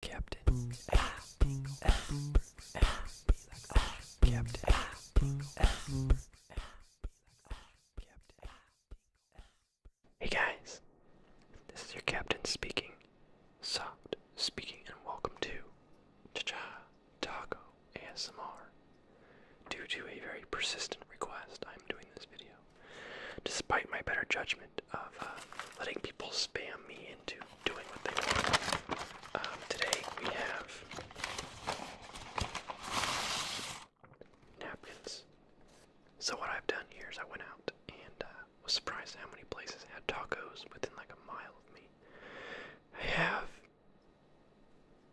Captain Hey guys, this is your captain speaking, Soft speaking, and welcome to Cha-Cha Taco ASMR. Due to a very persistent request, I'm doing this video. Despite my better judgment, of uh, letting people spam me into doing what they want. Um, today we have napkins. So what I've done here is I went out and uh, was surprised how many places had tacos within like a mile of me. I have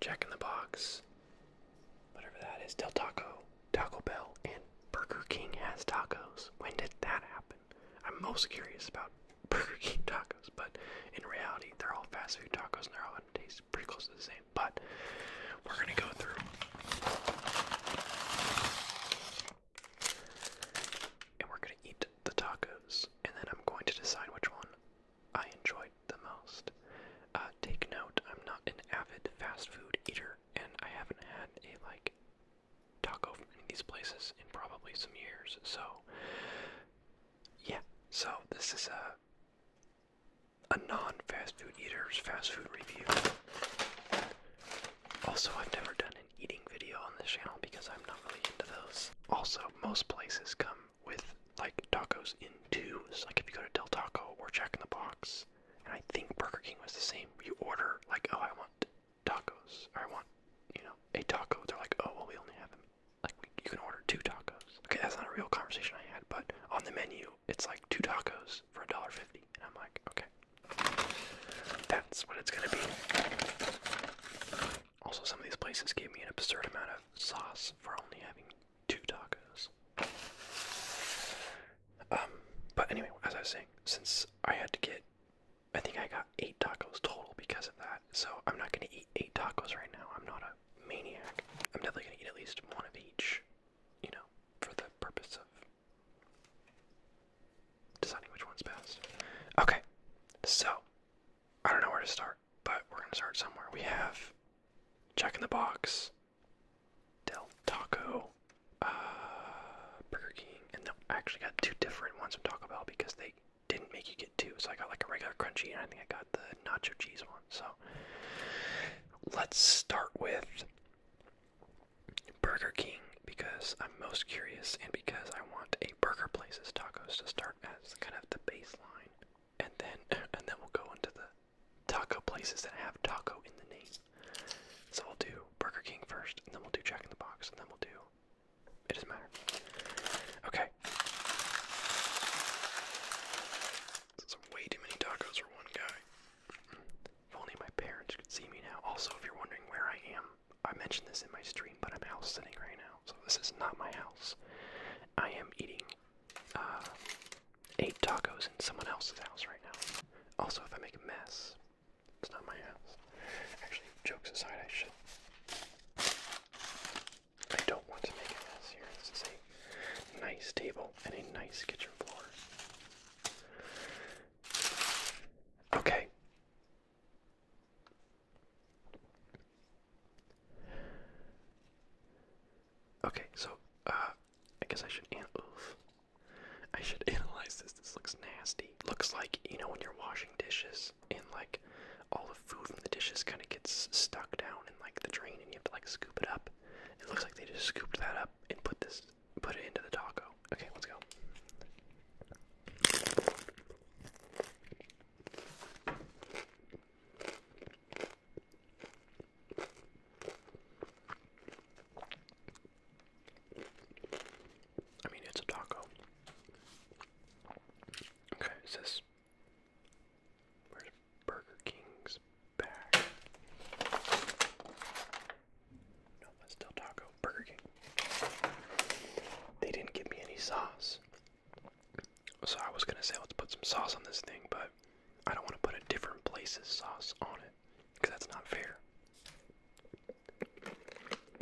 Jack in the Box, whatever that is, Del Taco, Taco Bell, and Burger King has tacos. When did that happen? I'm most curious about Burger King tacos, but in reality, they're all fast food tacos and they're all gonna taste pretty close to the same. But we're gonna go through. And we're gonna eat the tacos, and then I'm going to decide which one I enjoyed the most. Uh, take note, I'm not an avid fast food eater, and I haven't had a like taco in these places in probably some years. So, yeah. So this is a a non-fast food eater's fast food review. Also, I've never done an eating video on this channel because I'm not really into those. Also, most places come with like tacos in twos. Like if you go to Del Taco or Jack in the Box, and I think Burger King was the same. You order like, oh, I want tacos, I want, you know, a taco. They're like, oh, well, we only have them. Like, you can order two tacos. Okay, that's not a real conversation I had, but on the menu, it's like two tacos for a dollar fifty, and I'm like, okay, that's what it's gonna be. Also, some of these places gave me an absurd amount of sauce for only having two tacos. Um, but anyway, as I was saying, since I had to get I think I got eight tacos total because of that. So I'm not gonna eat eight tacos right now. I'm not a maniac. I'm definitely gonna eat at least one of each, you know, for the purpose of deciding which one's best. Okay, so I don't know where to start, but we're gonna start somewhere. We have Jack in the Box, Del Taco, uh, Burger King, and I actually got two different ones from Taco Bell because they didn't make you get two. So I got like a regular crunchy, and I think I got the nacho cheese one. So let's start with Burger King because I'm most curious, and because I want a burger place's tacos to start as kind of the baseline, and then and then we'll go into the taco places that have taco in the name. So we'll do Burger King first, and then we'll do Jack in the Box, and then we'll do. It doesn't matter. Okay. That's way too many tacos for one guy. If only my parents could see me now. Also, if you're wondering where I am, I mentioned this in my stream, but I'm house sitting right now, so this is not my house. I am eating uh, eight tacos in someone else's house right now. Also, if I make a mess, it's not my house. Actually, jokes aside, I should. I don't want to make a mess here. This is a nice table and a nice kitchen floor. Okay. Okay, so uh, I guess I should. I should analyze this. This looks nasty. Looks like, you know, when you're washing dishes and like all the food from the dishes kind of gets stuck down in like the drain and you have to like scoop it up. It looks like they just scooped that up and put this put it into the taco. Okay, let's go. I mean, it's a taco. Okay, it this Burger King's bag? No, that's still taco. Burger King. They didn't give me any sauce. So I was gonna say let's put some sauce on this thing, but I don't want to put a different place's sauce on it because that's not fair.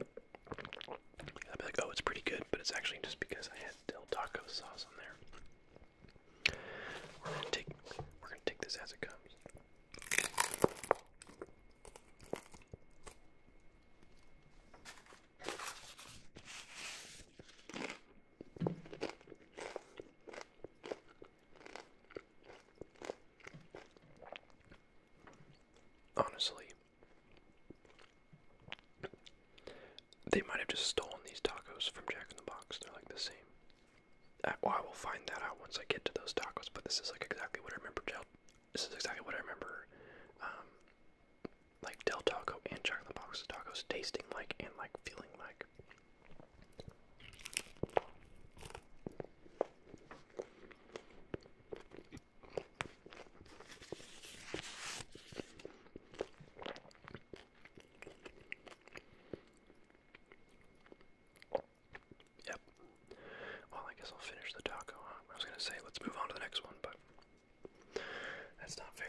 I'd be like, oh, it's pretty good, but it's actually just because I had Del Taco sauce on there. We're gonna take, we're gonna take this as it comes. Honestly, they might have just stolen these tacos from Jack in the Box. They're like the same. Uh, well, I will find that out once I get to those tacos. But this is like exactly what I remember. Del, this is exactly what I remember. Um, like Del Taco and Jack in the Box tacos tasting like and like feeling like. Yep. Well, I guess I'll finish the taco, I was going to say, let's move on to the next one, but that's not fair.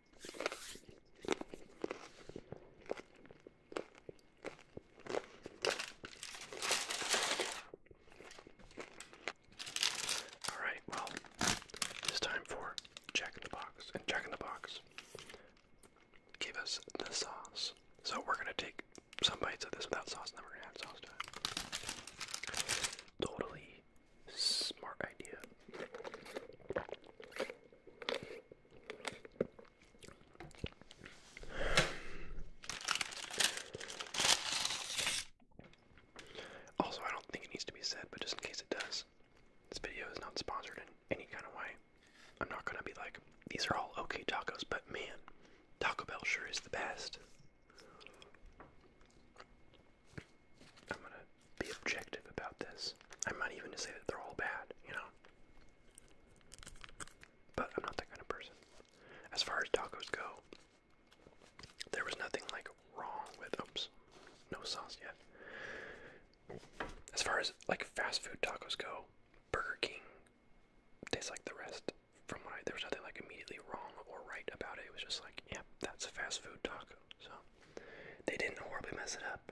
All right, well, it's time for Jack in the Box. And Jack in the Box gave us the sauce. So we're going to take some bites of this without sauce, and then we're going to add sauce to it. Totally smart idea. Also, I don't think it needs to be said, but just in case it does, this video is not sponsored in any kind of way. I'm not gonna be like, these are all okay tacos, but man, Taco Bell sure is the best be objective about this. I'm not even to say that they're all bad, you know. But I'm not that kind of person. As far as tacos go, there was nothing like wrong with oops, no sauce yet. As far as like fast food tacos go, Burger King tastes like the rest. From what I there was nothing like immediately wrong or right about it. It was just like, yep, that's a fast food taco. So they didn't horribly mess it up.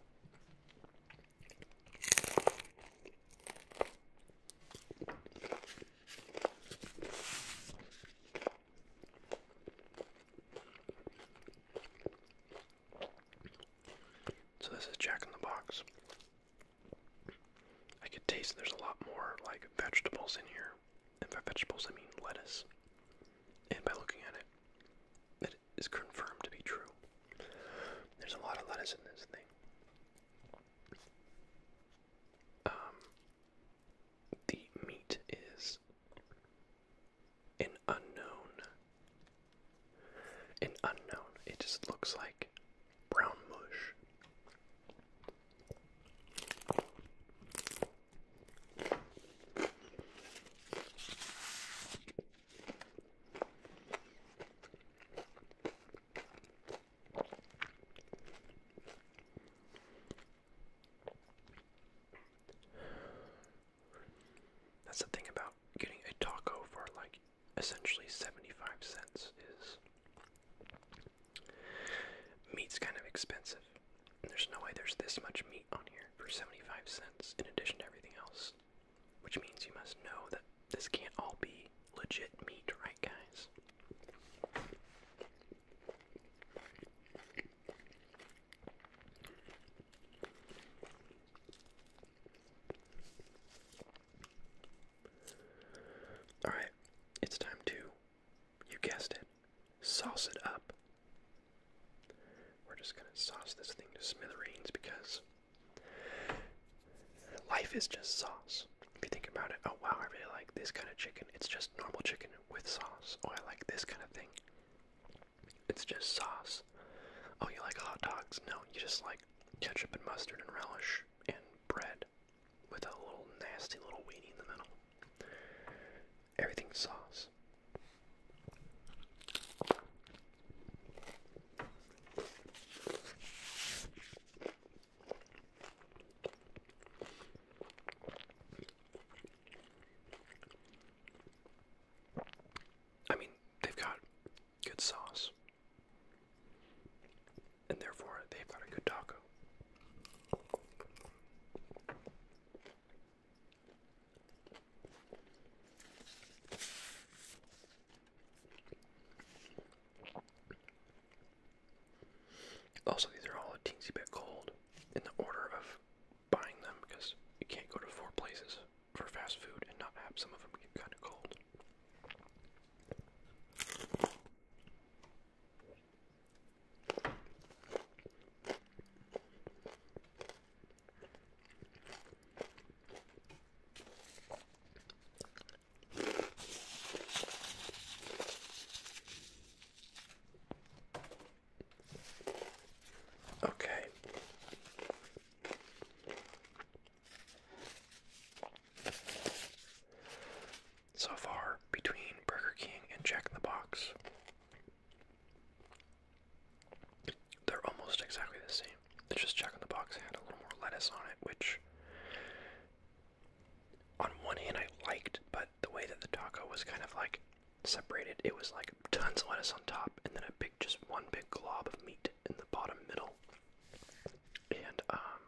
So this is Jack in the Box. I could taste there's a lot more like vegetables in here. And by vegetables I mean lettuce. And by looking at it, it is confirmed to be true. There's a lot of lettuce in this thing. Um, the meat is an unknown. An unknown. It just looks like brown mush. That's the thing about getting a taco for like essentially 75 cents is meat's kind of expensive. There's no way there's this much meat on here for 75 cents in addition to everything else. Which means you must know that this can't all be legit meat, right, guys? Alright, it's time to, you guessed it, sauce it up we're just gonna sauce this thing to smithereens because life is just sauce. If you think about it, oh wow, I really like this kind of chicken. It's just normal chicken with sauce. Oh, I like this kind of thing. It's just sauce. Oh, you like hot dogs? No, you just like ketchup and mustard and relish and bread with a little nasty little weenie in the middle everything sauce. I mean, they've got good sauce, and therefore they've got a good taco. Also, these are all a teensy bit cold in the order of buying them because you can't go to four places for fast food and not have some of them get kind of cold. Okay. So far, between Burger King and Jack in the Box, they're almost exactly the same. They're just checking the box had a little more lettuce on it, which on one hand I liked, but the way that the taco was kind of like separated, it was like tons of lettuce on top and then a big just one big glob of meat in the bottom middle. And um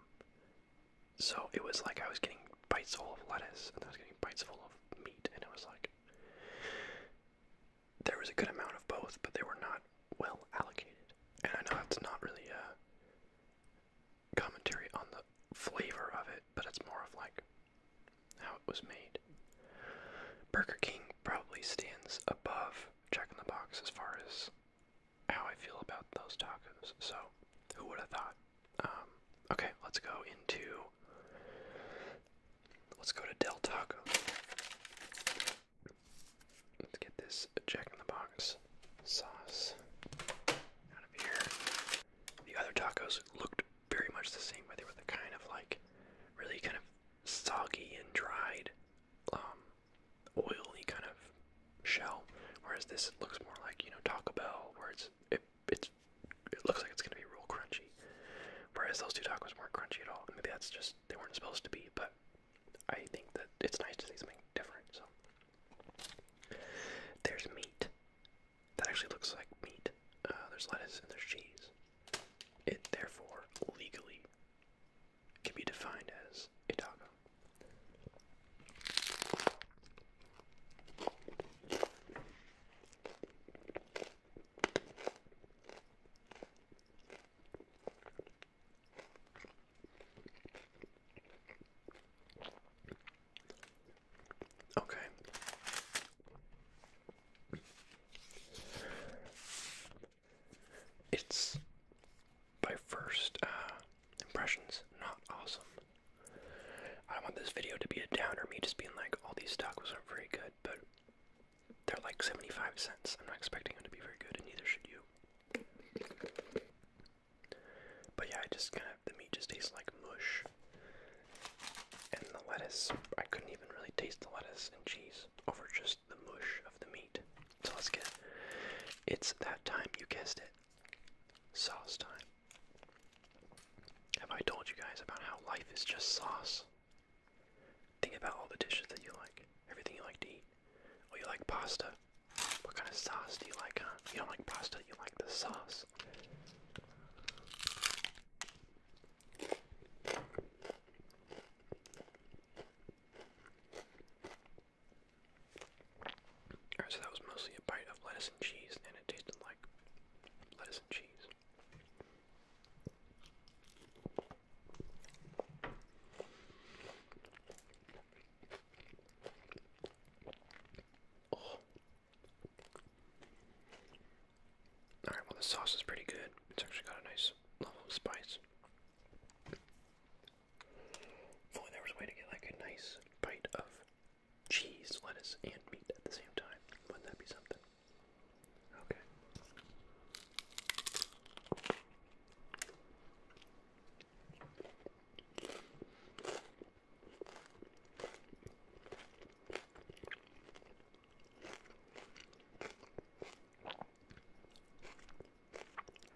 so it was like I was getting bites full of lettuce and I was getting bites full of meat and it was like there was a good amount of both, but they were not well allocated. And I know that's not really a commentary on the flavor of it, but it's more of like how it was made. Burger King probably stands above Jack in the Box as far as how I feel about those tacos. So, who would have thought? Um, okay, let's go into Let's go to Del Taco. Let's get this Jack in the Box sauce out of here. The other tacos looked very much the same, where they were the kind of like really kind of soggy and dried, um, oily kind of shell. Whereas this looks more like you know Taco Bell, where it's it's it looks like it's gonna be real crunchy. Whereas those two tacos weren't crunchy at all. Maybe that's just they weren't supposed to be, but I think that it's nice to see something different. So there's meat that actually looks like meat. Uh, there's lettuce and there's cheese. It therefore legally can be defined as a taco. Okay. It's by first uh, impressions, not awesome. I want this video to be a downer, me just being like, all these tacos aren't very good but they're like 75 cents. I'm not expecting them to be very good, and neither should you. But yeah, I just kind of, the meat just tastes like mush. And the lettuce, I couldn't even really taste the lettuce and cheese over just the mush of the meat. So let's get, it's that time, you guessed it, sauce time. Have I told you guys about how life is just sauce? Think about all the dishes that you like, everything you like to eat. Oh, you like pasta? What kind of sauce do you like, huh? You don't like pasta, you like the sauce. Alright, so that was mostly a bite of lettuce and cheese, and it tasted like lettuce and cheese. Oh. All right, well the sauce is pretty good. It's actually got a nice level spice. If there was a way to get like a nice bite of cheese, lettuce, and meat at the same time. Wouldn't that be something? Okay.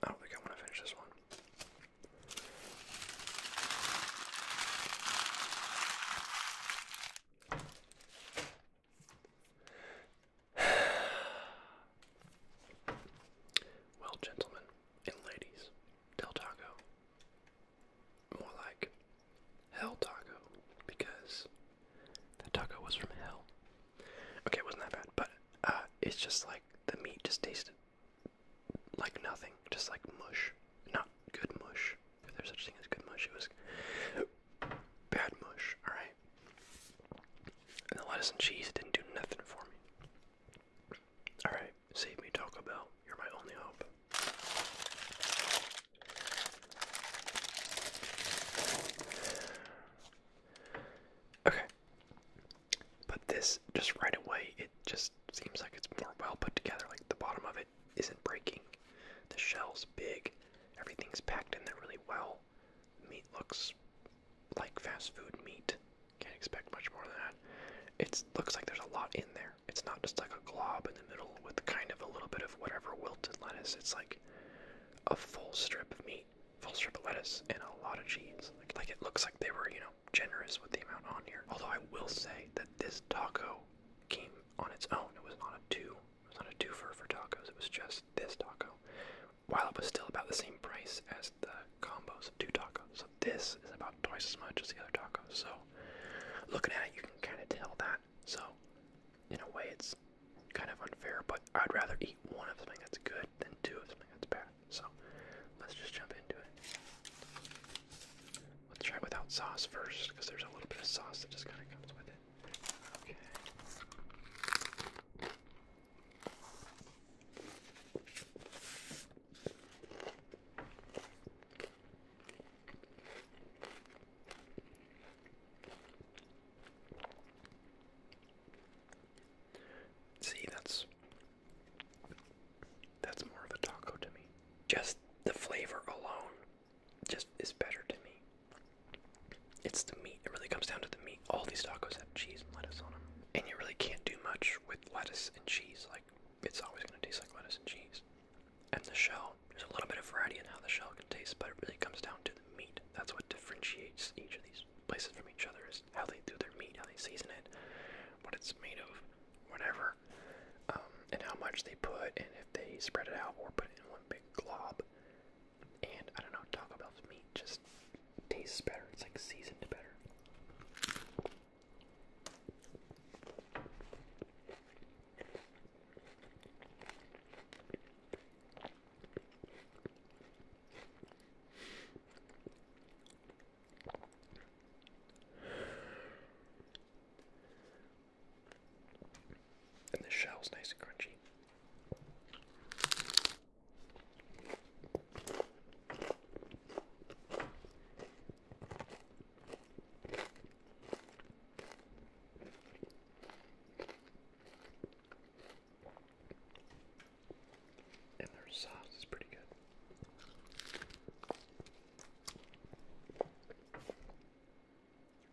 I don't think I want to finish this one well, gentlemen and ladies, Del Taco. More like Hell Taco, because the taco was from hell. Okay, wasn't that bad, but uh, it's just like the meat just tasted like nothing, just like mush not good mush. If there's such a thing as good mush, it was bad mush. All right. And the lettuce and cheese didn't do nothing for me. All right, save me Taco Bell. You're my only hope. Okay. But this, just right away, it just seems like it's more well put together. Like the bottom of is isn't breaking. The shell's big, everything's packed in there really well. Meat looks like fast food meat. Can't expect much more than that. It looks like there's a lot in there. It's not just like a glob in the middle with kind of a little bit of whatever wilted lettuce. It's like a full strip of meat, full strip of lettuce, and a lot of cheese. like it looks like they were, you know, generous with the amount on here. Although I will say that this taco came on its own. It was not a two. It was not a twofer for tacos. It was just this taco, while it was still about the same price as the combos of two tacos. So this is about twice as much as the other tacos. So looking at it, you can kind of tell that. So in a way, it's kind of unfair. But I'd rather eat one of something that's good than two of something that's bad. So let's just jump into it. Let's try it without sauce first, because there's a little bit of sauce that just kind of comes with it. Okay. See, that's that's more of a taco to me. Just the flavor alone just is better to me. It's the meat. It really comes down to the meat. All these tacos have cheese and lettuce on them, and you really can't do much with lettuce and cheese. Like it's always going to taste like lettuce and cheese. And the shell, there's a little bit of variety in how the shell can taste, but it really comes down to the meat. That's what differentiates each of these places from each other is how they do their meat, how they season it, what it's made of, whatever um, and how much they put, and if they spread it out or put it in one big glob. And I don't know, Taco Bell's meat just tastes better. It's like seasoned better. And the shell's nice and crunchy. And their sauce is pretty good.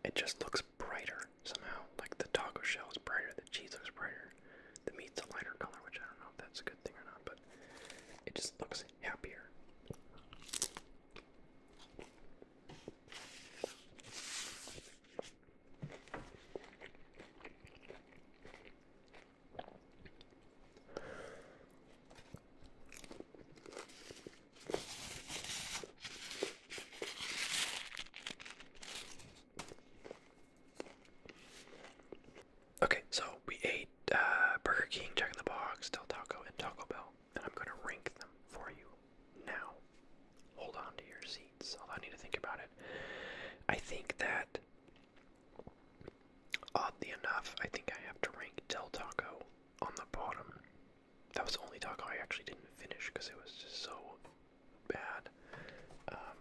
It just looks brighter somehow. Like the taco shell is brighter, the cheese looks brighter, the meat's a lighter color, which I don't know if that's a good thing or not, but it just looks happier. Okay, so we ate uh, Burger King, Jack in the Box, Del Taco, and Taco Bell, and I'm going to rank them for you now. Hold on to your seats, I need to think about it. I think that, oddly enough, I think I have to rank Del Taco on the bottom. That was the only taco I actually didn't finish because it was just so bad. Um,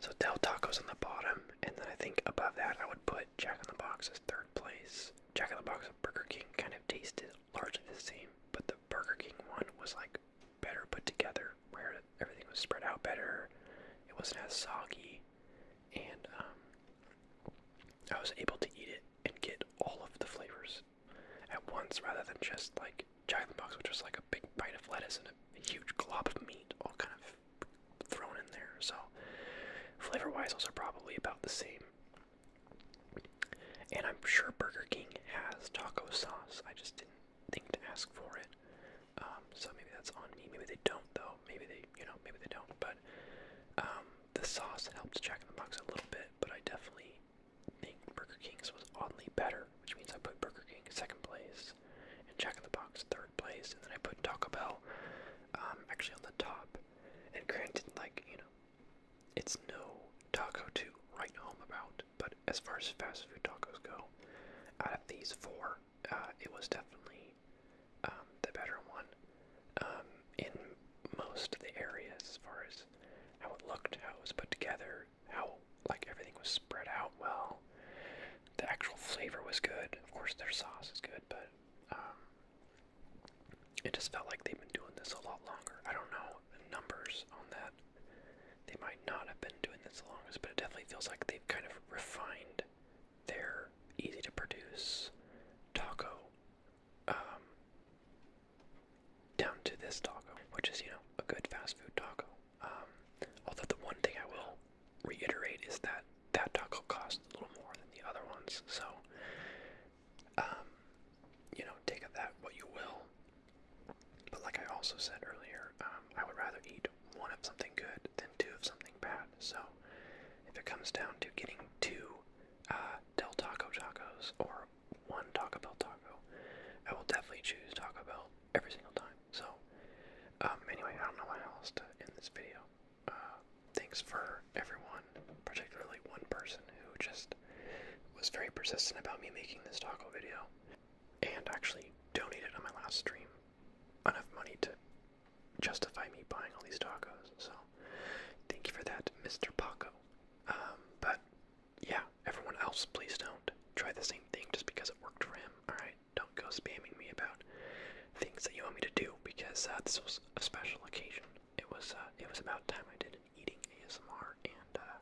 so Del Taco's on the bottom, and then I think above that I would put Jack in the Box as third place. Jack in the Box and Burger King kind of tasted largely the same, but the Burger King one was like better put together, where everything was spread out better. It wasn't as soggy, and um, I was able to eat it and get all of the flavors at once rather than just like giant box, which was like a big bite of lettuce and a huge glob of meat all kind of thrown in there. So, flavor wise, those are probably about the same. And I'm sure Burger King has taco sauce. I just didn't think to ask for it. Um, so maybe that's on me. Maybe they don't though. Maybe they, you know, maybe they don't. But um, the sauce helped Jack in the Box a little bit, but I definitely think Burger King's was oddly better, which means I put Burger King second place and Jack in the Box third place, and then I put Taco Bell um, actually on the top. And granted, like, you know, it's no taco to write home about, but as far as fast food tacos go, out of these four, uh, it was definitely um, the better one um, in most of the areas as far as how it looked, how it was put together, how like everything was spread out well. The actual flavor was good. Of course, their sauce is good, but um, it just felt like they've been doing this a lot longer. I don't know the numbers on that. They might not have been doing this as long as, but it definitely feels like they've kind of refined their easy to produce taco um, down to this taco, which is, you know, a good fast food taco. Um, although the one thing I will reiterate is that that taco costs a little more than the other ones. So, um, you know, take that what you will. But like I also said earlier, I would rather eat one of something good than two of something bad. So, if it comes down to getting two uh, Del Taco tacos or one Taco Bell taco, I will definitely choose Taco Bell every single time. So, um, anyway, I don't know what else to end this video. Uh, thanks for everyone, particularly one person who just was very persistent about me making this taco video and actually donated on my last stream enough money to justify me buying all these tacos. So thank you for that, Mr. Paco. Um, but yeah, everyone else, please don't try the same thing just because it worked for him. All right, don't go spamming me about things that you want me to do because uh, this was a special occasion. It was uh, it was about time I did an eating ASMR, and uh,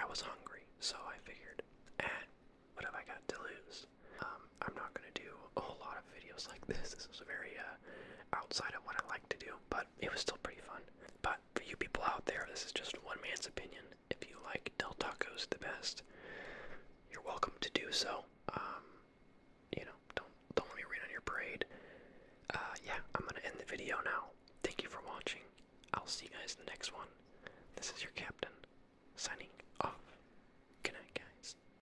I was hungry, so I figured, eh, what have I got to lose? Um, um, I'm not gonna do a whole lot of videos like this. This is very uh, outside of what I like to do, but it was still pretty fun. But for you people out there, this is just one man's opinion. If you like Del Tacos the best, you're welcome to do so. Um, you know, don't don't let me rain on your parade. Uh, yeah, I'm gonna end the video now. Thank you for watching. I'll see you guys in the next one. This is your captain signing off. Good night, guys.